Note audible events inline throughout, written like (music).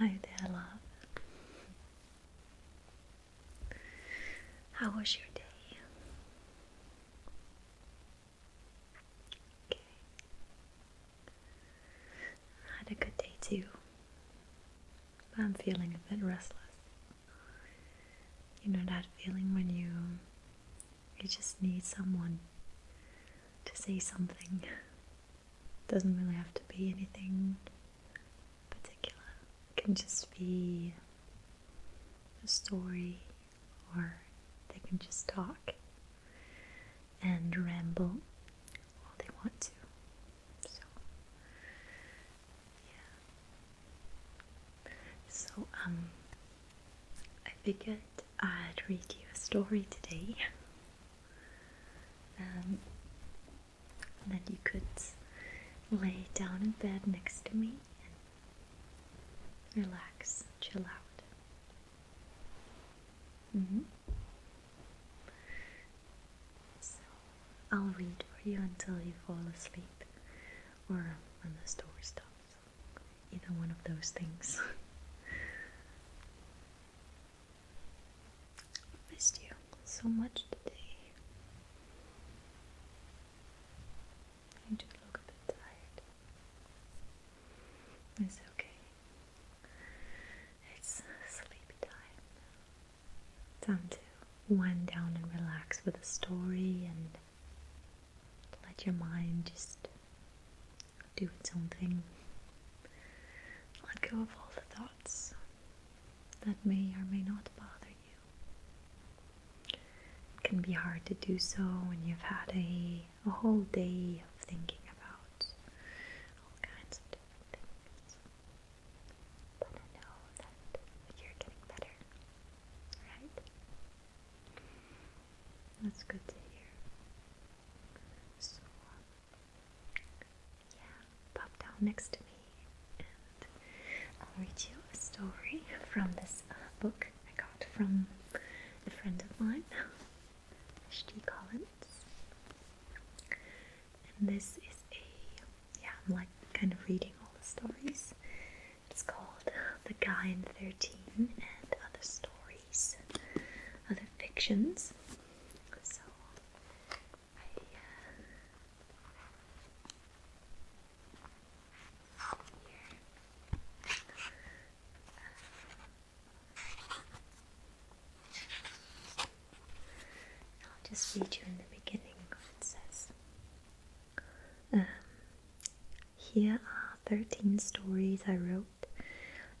Hi there, love. How was your day? had a good day too, I'm feeling a bit restless. You know that feeling when you you just need someone to say something. Doesn't really have to be anything particular. can just be a story or they can just talk and ramble they want to. So, yeah. So, um, I figured I'd read you a story today. Um, and that you could lay down in bed next to me and relax, chill out. Mm -hmm. So I'll read for you until you fall asleep or when the store stops. Either one of those things. (laughs) missed you so much today. You do look a bit tired. It's okay. It's sleepy time. Time to wind down and relax with a story and let your mind just do its own thing. Let go of all the thoughts that may or may not bother you. It can be hard to do so when you've had a, a whole day of thinking about all kinds of different things. But I know that you're getting better, right? That's good to hear. So, yeah, pop down next to me and I'll read you a story from this uh, book I got from a friend of mine, Ashti Collin. And this is a, yeah, I'm like kind of reading all the stories. It's called The Guy in 13 and Other Stories, Other Fictions. So, I, uh, I'll just read you in the beginning what it says. Um, here are 13 stories I wrote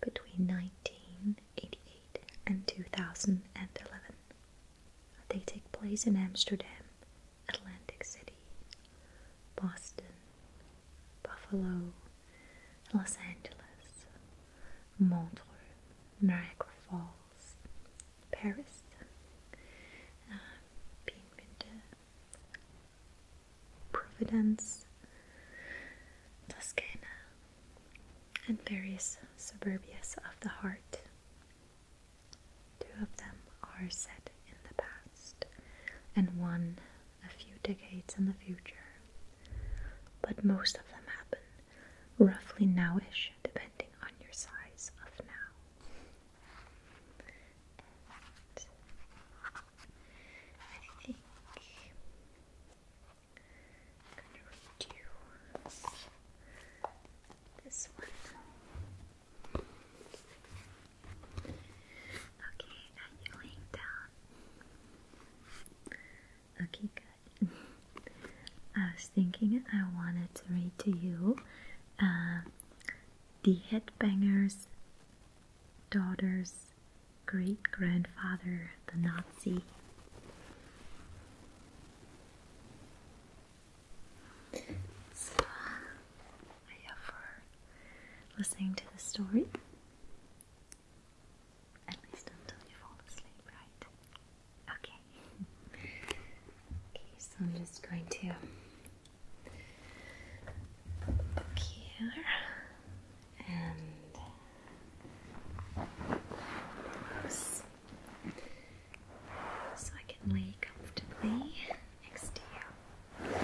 between 1988 and 2011. They take place in Amsterdam, Atlantic City, Boston, Buffalo, Los Angeles, Montreux, Niagara Falls, Paris, uh, Providence, Toscana, and various suburbias of the heart. Two of them are set in the past, and one a few decades in the future, but most of them happen roughly nowish, depending on your size of now. I think I'm gonna read this one. Okay, and you laying down. Okay, good. I was thinking I wanted to read to you uh, the headbanger's daughter's great grandfather, the Nazi. So, I for listening to the story. At least until you fall asleep, right? Okay. okay, so I'm just going to look here and close so I can lay comfortably next to you.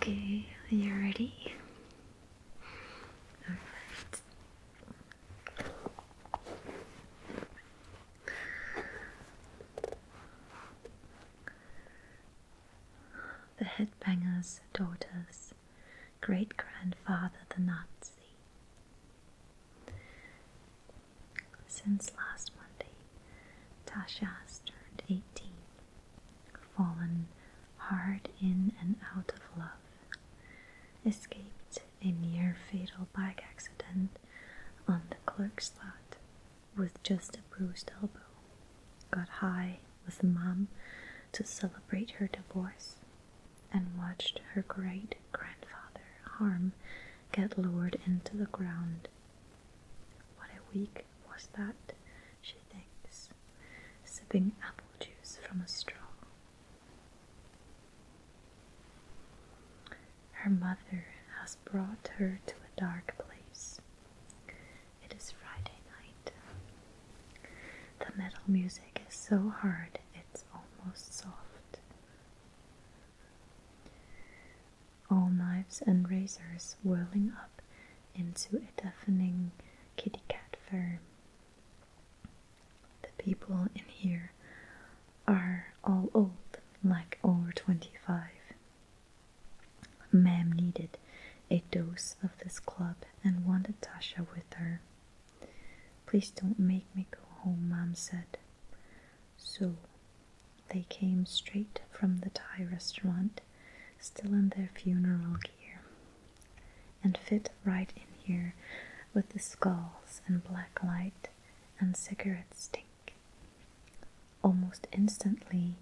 Okay, are you ready? Alright. The headbanger's daughter's great grandfather, the Nazi. Since last Monday, Tasha has turned 18, fallen hard in and out of love, escaped a near fatal bike accident on the Clerk's lot with just a bruised elbow, got high with mom to celebrate her divorce, and watched her great grandfather, Harm, get lowered into the ground. What a week was that, she thinks, sipping apple juice from a straw. Her mother brought her to a dark place. It is Friday night. The metal music is so hard it's almost soft. All knives and razors whirling up into a deafening kitty cat fur. The people in here are all old, like over 25. Ma'am needed a dose of this club and wanted Tasha with her. Please don't make me go home, Mom said. So they came straight from the Thai restaurant, still in their funeral gear, and fit right in here with the skulls and black light and cigarette stink. Almost instantly,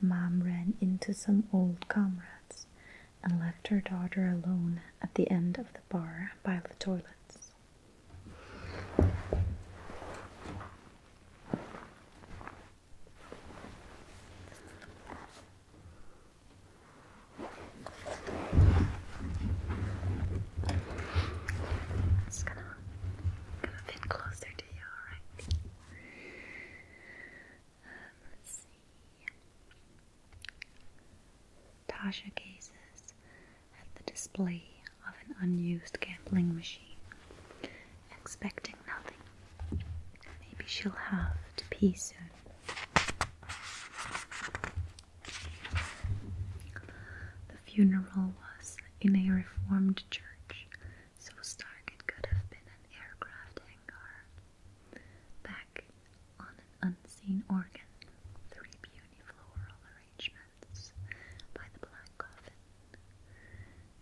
Mom ran into some old comrades and left her daughter alone at the end of the bar by the toilets. It's gonna, gonna fit closer um, Tasha gazes at the display of an unused gambling machine, expecting nothing. Maybe she'll have to pee soon. The funeral was in a reformed church, so stark it could have been an aircraft hangar. Back on an unseen organ, three puny floral arrangements by the black coffin.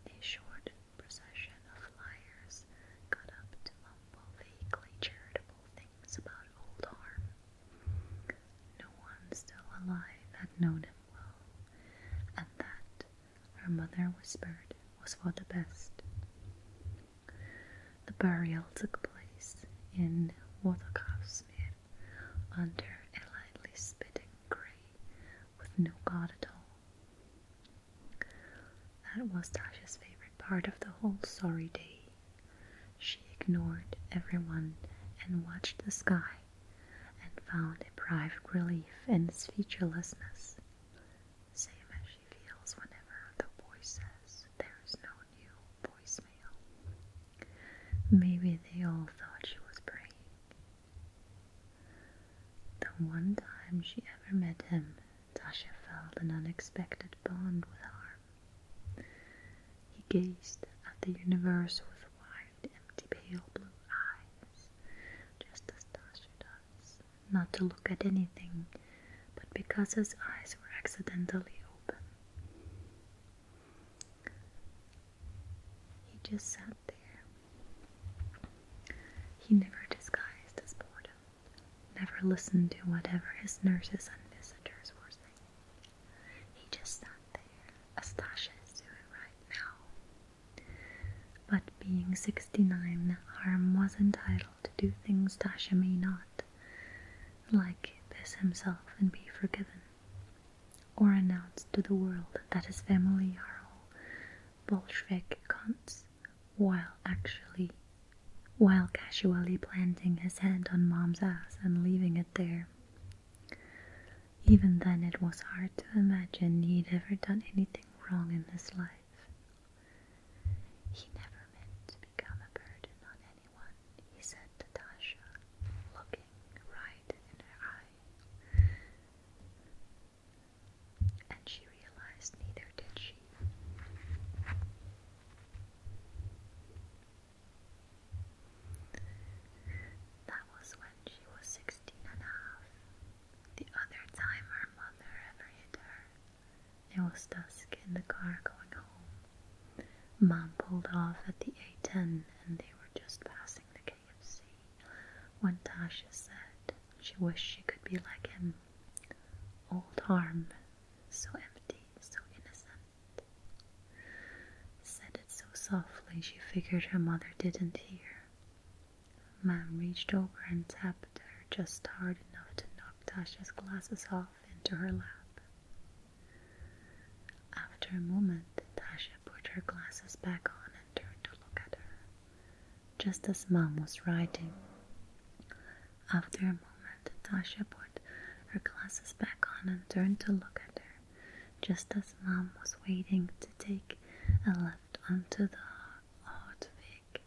A short procession of flyers got up to mumble vaguely charitable things about old harm. No one still alive had noticed and that, her mother whispered, was for the best. The burial took place in Watergraafsmeer under a lightly spitting grey, with no god at all. That was Tasha's favorite part of the whole sorry day. She ignored everyone and watched the sky and found a private relief in his featurelessness, same as she feels whenever the voice says there is no new voicemail. Maybe they all thought she was praying. The one time she ever met him, Tasha felt an unexpected bond with Harm. He gazed at the universe with wide, empty, pale blue eyes just as Tasha does, not to look at anything, but because his eyes were accidentally open. He just sat there. He never disguised his boredom, never listened to whatever his nurses and visitors were saying. He just sat there, as is doing right now, but being sixty nine, Harm was entitled to do things Tasha may not, like piss himself and be forgiven, or announce to the world that his family are all Bolshevik cons, while actually while casually planting his hand on mom's ass and leaving it there. Even then, it was hard to imagine he'd ever done anything wrong in his life. He never meant to become a burden on anyone, he said to Tasha, looking right in her eye. And she realized neither did she. That was when she was 16 the other time her mother ever hit her. It was dusk in the car going home. Mom pulled off at the A10 and they were just passing the KFC when Tasha said she wished she could be like him. Old arm, so empty, so innocent. Said it so softly she figured her mother didn't hear. Man reached over and tapped her just hard enough to knock Tasha's glasses off into her lap. After a moment, Tasha put her glasses back on and turned to look at her, just as Mom was writing. After a moment, Tasha put her glasses back on and turned to look at her, just as Mom was waiting to take a left onto the hard Vic.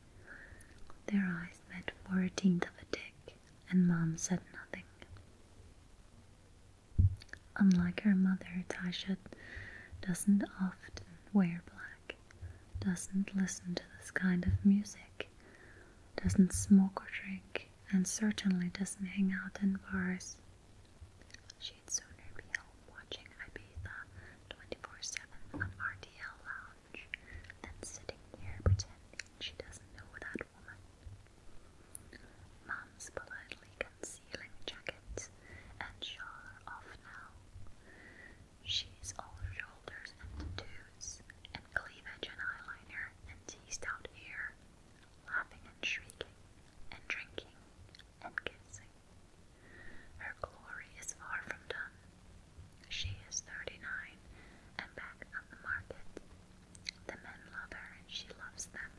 Their eyes met for a tenth of a tick, and Mom said nothing. Unlike her mother, Tasha doesn't often wear black, doesn't listen to this kind of music, doesn't smoke or drink, and certainly doesn't hang out in bars. She's would sooner watching Ibiza 24-7 on RTL Lounge than sitting here pretending she doesn't know that woman. Mom's politely concealing jacket and shawl off now. She's all shoulders and tattoos and cleavage and eyeliner and teased out hair laughing and shrieking, and drinking and kissing. Her glory is far from done. She is thirty nine and back on the market. The men love her and she loves them.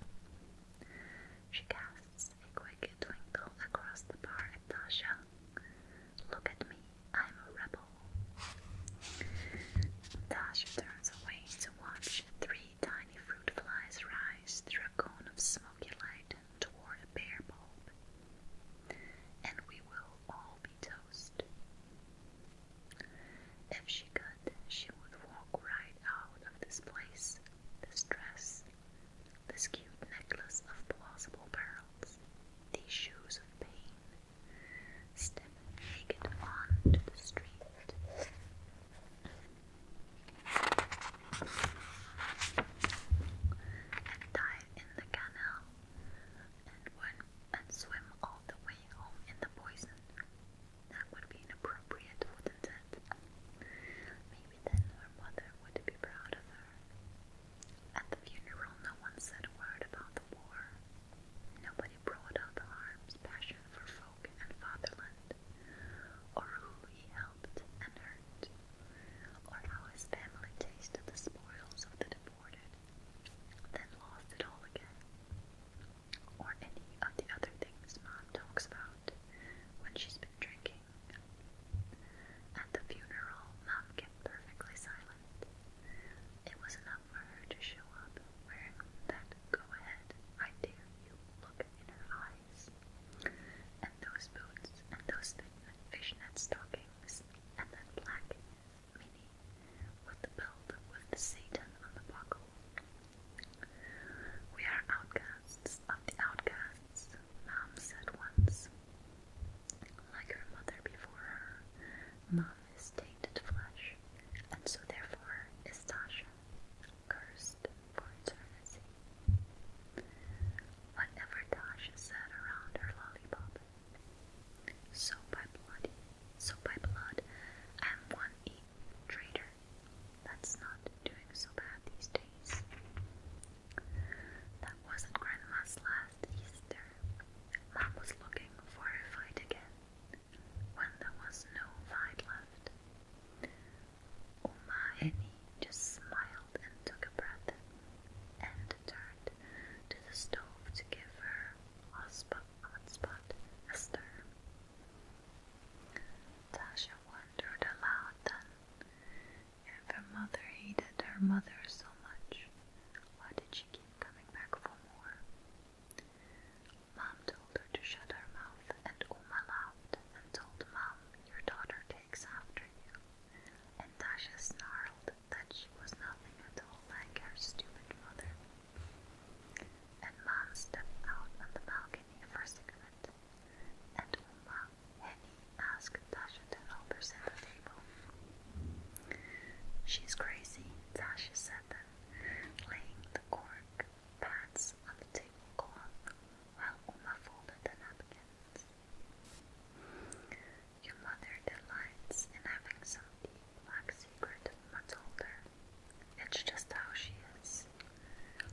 She casts a quick twinkle across the bar at Tasha. Look at me, I'm a rebel. Tasha turns away to watch three tiny fruit flies rise through a cone of smoky light toward a pear bulb, and we will all be toast. If she could, she would walk right out of this place, this dress, this cute necklace of plausible pearls, these shoes of pain, step naked on to the street and dive in the canal and swim all the way home in the poison. That would be inappropriate, wouldn't it? Maybe then her mother would be proud of her. At the funeral, no one said a word about the war. Nobody brought up Harm's passion for and Fatherland, or who he helped and hurt, or how his family tasted the spoils of the deported, then lost it all again, or any of the other things Mom talks about when she's been drinking. At the funeral, Mom kept perfectly silent. It was enough for her to show up wearing that go ahead, I dare you look in her eye and those boots, and those fishnet stockings, and that black mini with the belt with the Satan on the buckle. We are outcasts of the outcasts, Mom said once. Like her mother before her, Mom is tainted flesh, and so therefore is Tasha cursed for eternity. Whatever Dasha said around her lollipop. So by blood, so by blood, I am one e traitor. That's not doing so bad these days. That wasn't Grandma's last Easter. Mom was looking for a fight again, when there was no fight left. O'Mahony just smiled and took a breath and turned to the stove to give her hotspot, hotspot a stir. Tasha wondered aloud then if her mother hated her mother so much, why did she keep coming back for more? Mom told her to shut her mouth and Uma laughed and told Mom your daughter takes after you. And Dasha snarled that she was nothing at all like her stupid mother. And Mom stepped out on the balcony for a cigarette. And Uma, Henny, asked Dasha to help her set the table. She's crazy, Dasha said then, laying the cork pads on the tablecloth while Uma folded the napkins. Your mother delights in having some deep black secret told her. It's just how she is.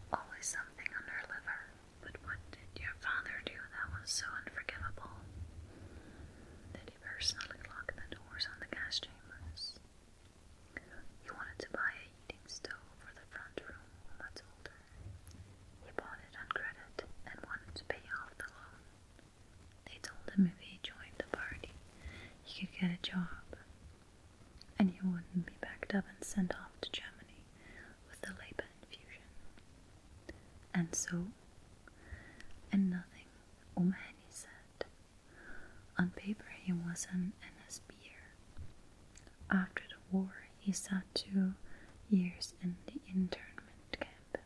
Always something on her liver. But what did your father do that was so unforgivable? Did he personally lock the doors on the gas chambers? He wanted to buy heating stove for the front room much older. He bought it on credit and wanted to pay off the loan. They told him if he joined the party, he could get a job, and he wouldn't be backed up and sent off to Germany with the Labour infusion. And so, and nothing, O'Mahony said. On paper, he was not an NSBer, after the war, he sat two years in the internment camp.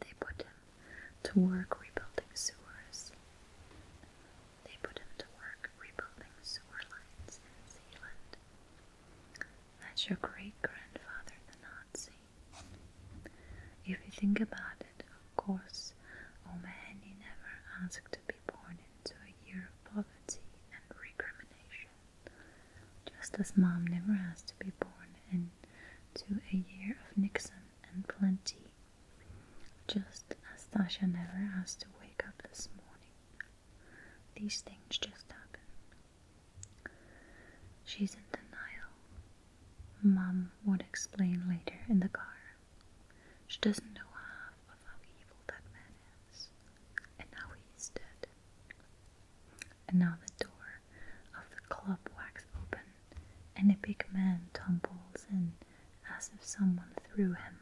They put him to work rebuilding sewers. They put him to work rebuilding sewer lines in Zealand. That's your great grandfather, the Nazi. If you think about it, of course, O'Mahony oh never asked to be born into a year of poverty and recrimination, just as Mom never has to be born into a year of Nixon and plenty, just as Sasha never has to wake up this morning. These things just happen. She's in denial. Mom would explain later in the car. She doesn't know half of how evil that man is and now he dead. And now the door of the club whacks open, and a big man tumbles in as if someone threw him.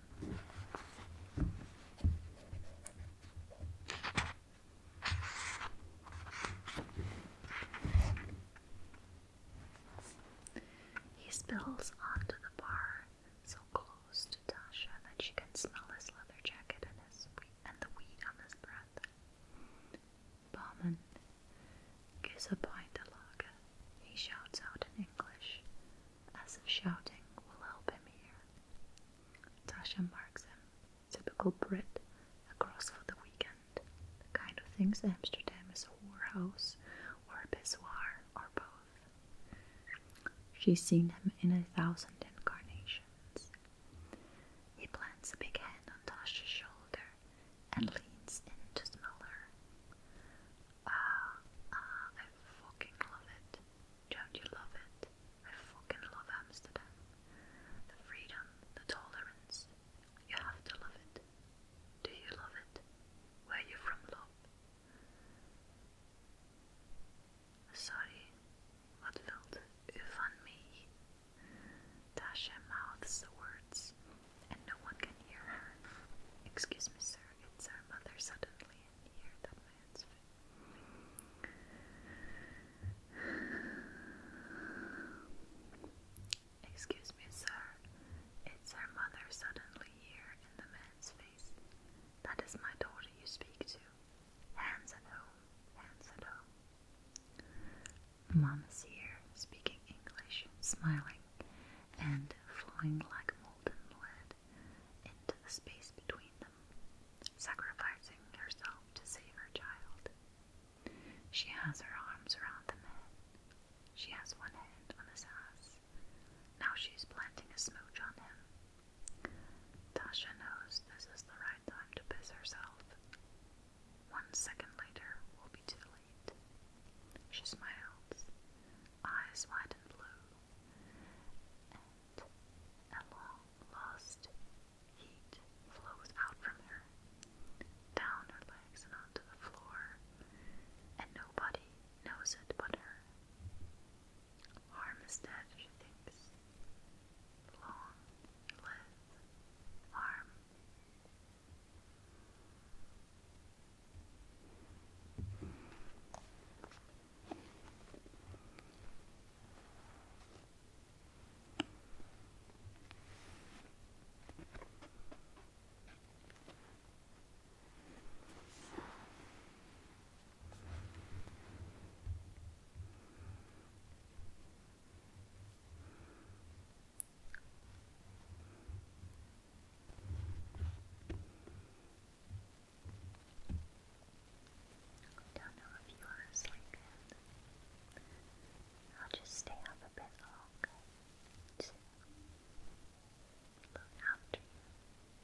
He spills onto the bar so close to Tasha that she can smell his leather jacket and his and the weed on his breath. Barman, gives a pint of lager, he shouts out in English, as if shouting will help him hear. Tasha marks him, typical Brit, across for the weekend. The kind of things Amsterdam is a whorehouse or a pissoir or both. She's seen him in a thousand incarnations. He plants a big hand on Tasha's shoulder and leans in to smell her. Ah, ah, I fucking love it. Don't you love it? I fucking love Amsterdam. The freedom, the tolerance. You have to love it. Do you love it? Where you from, love? Sorry, wat wilt u van mij? Dasha mouths the words, and no one can hear her. Excuse me, sir, it's our mother suddenly, and here man's fit. Excuse me, sir. It's her mother suddenly here in the man's face. That is my daughter you speak to. Hands at home, hands at home. Mom is here, speaking English, smiling, and flowing like molten lead into the space between them, sacrificing herself to save her child. She has her arms around the man. She has one hand on his ass. Now she planting a smooch on him Tasha knows this is the right time to piss herself. One second later will be too late. She smiles, eyes wide and blue, and a long lost heat flows out from her, down her legs and onto the floor, and nobody knows it but her. Armistead, thinks. Long live harm. I don't know if you are asleep I'll just stay up a bit longer look after you.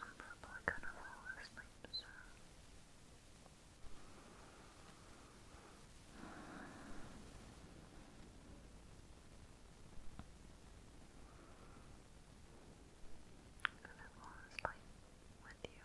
I'm probably gonna fall asleep soon. And I fall asleep with you.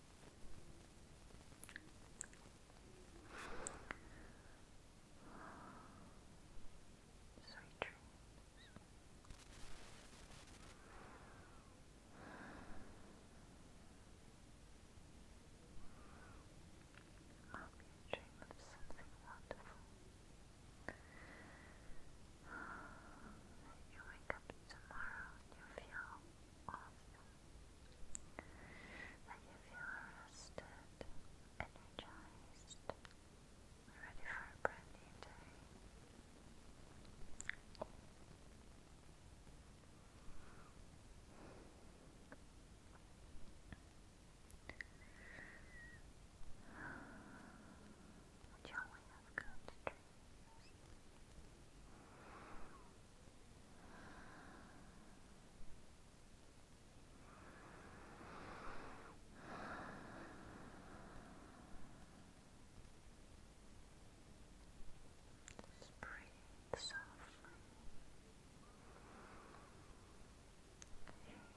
Sweet dreams. Maybe you of something wonderful. When you wake up tomorrow and you feel awesome, and you feel rested, energized, ready for a brand new day. Would you only have good dreams? Just breathe softly.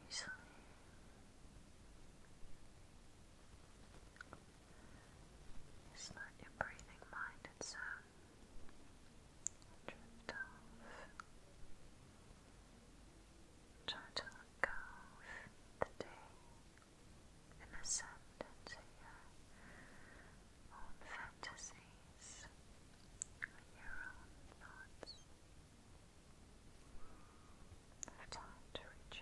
Easily. It's not your breathing mind, it's um drift go the day ascend into your own fantasies and your own thoughts. No time to recharge.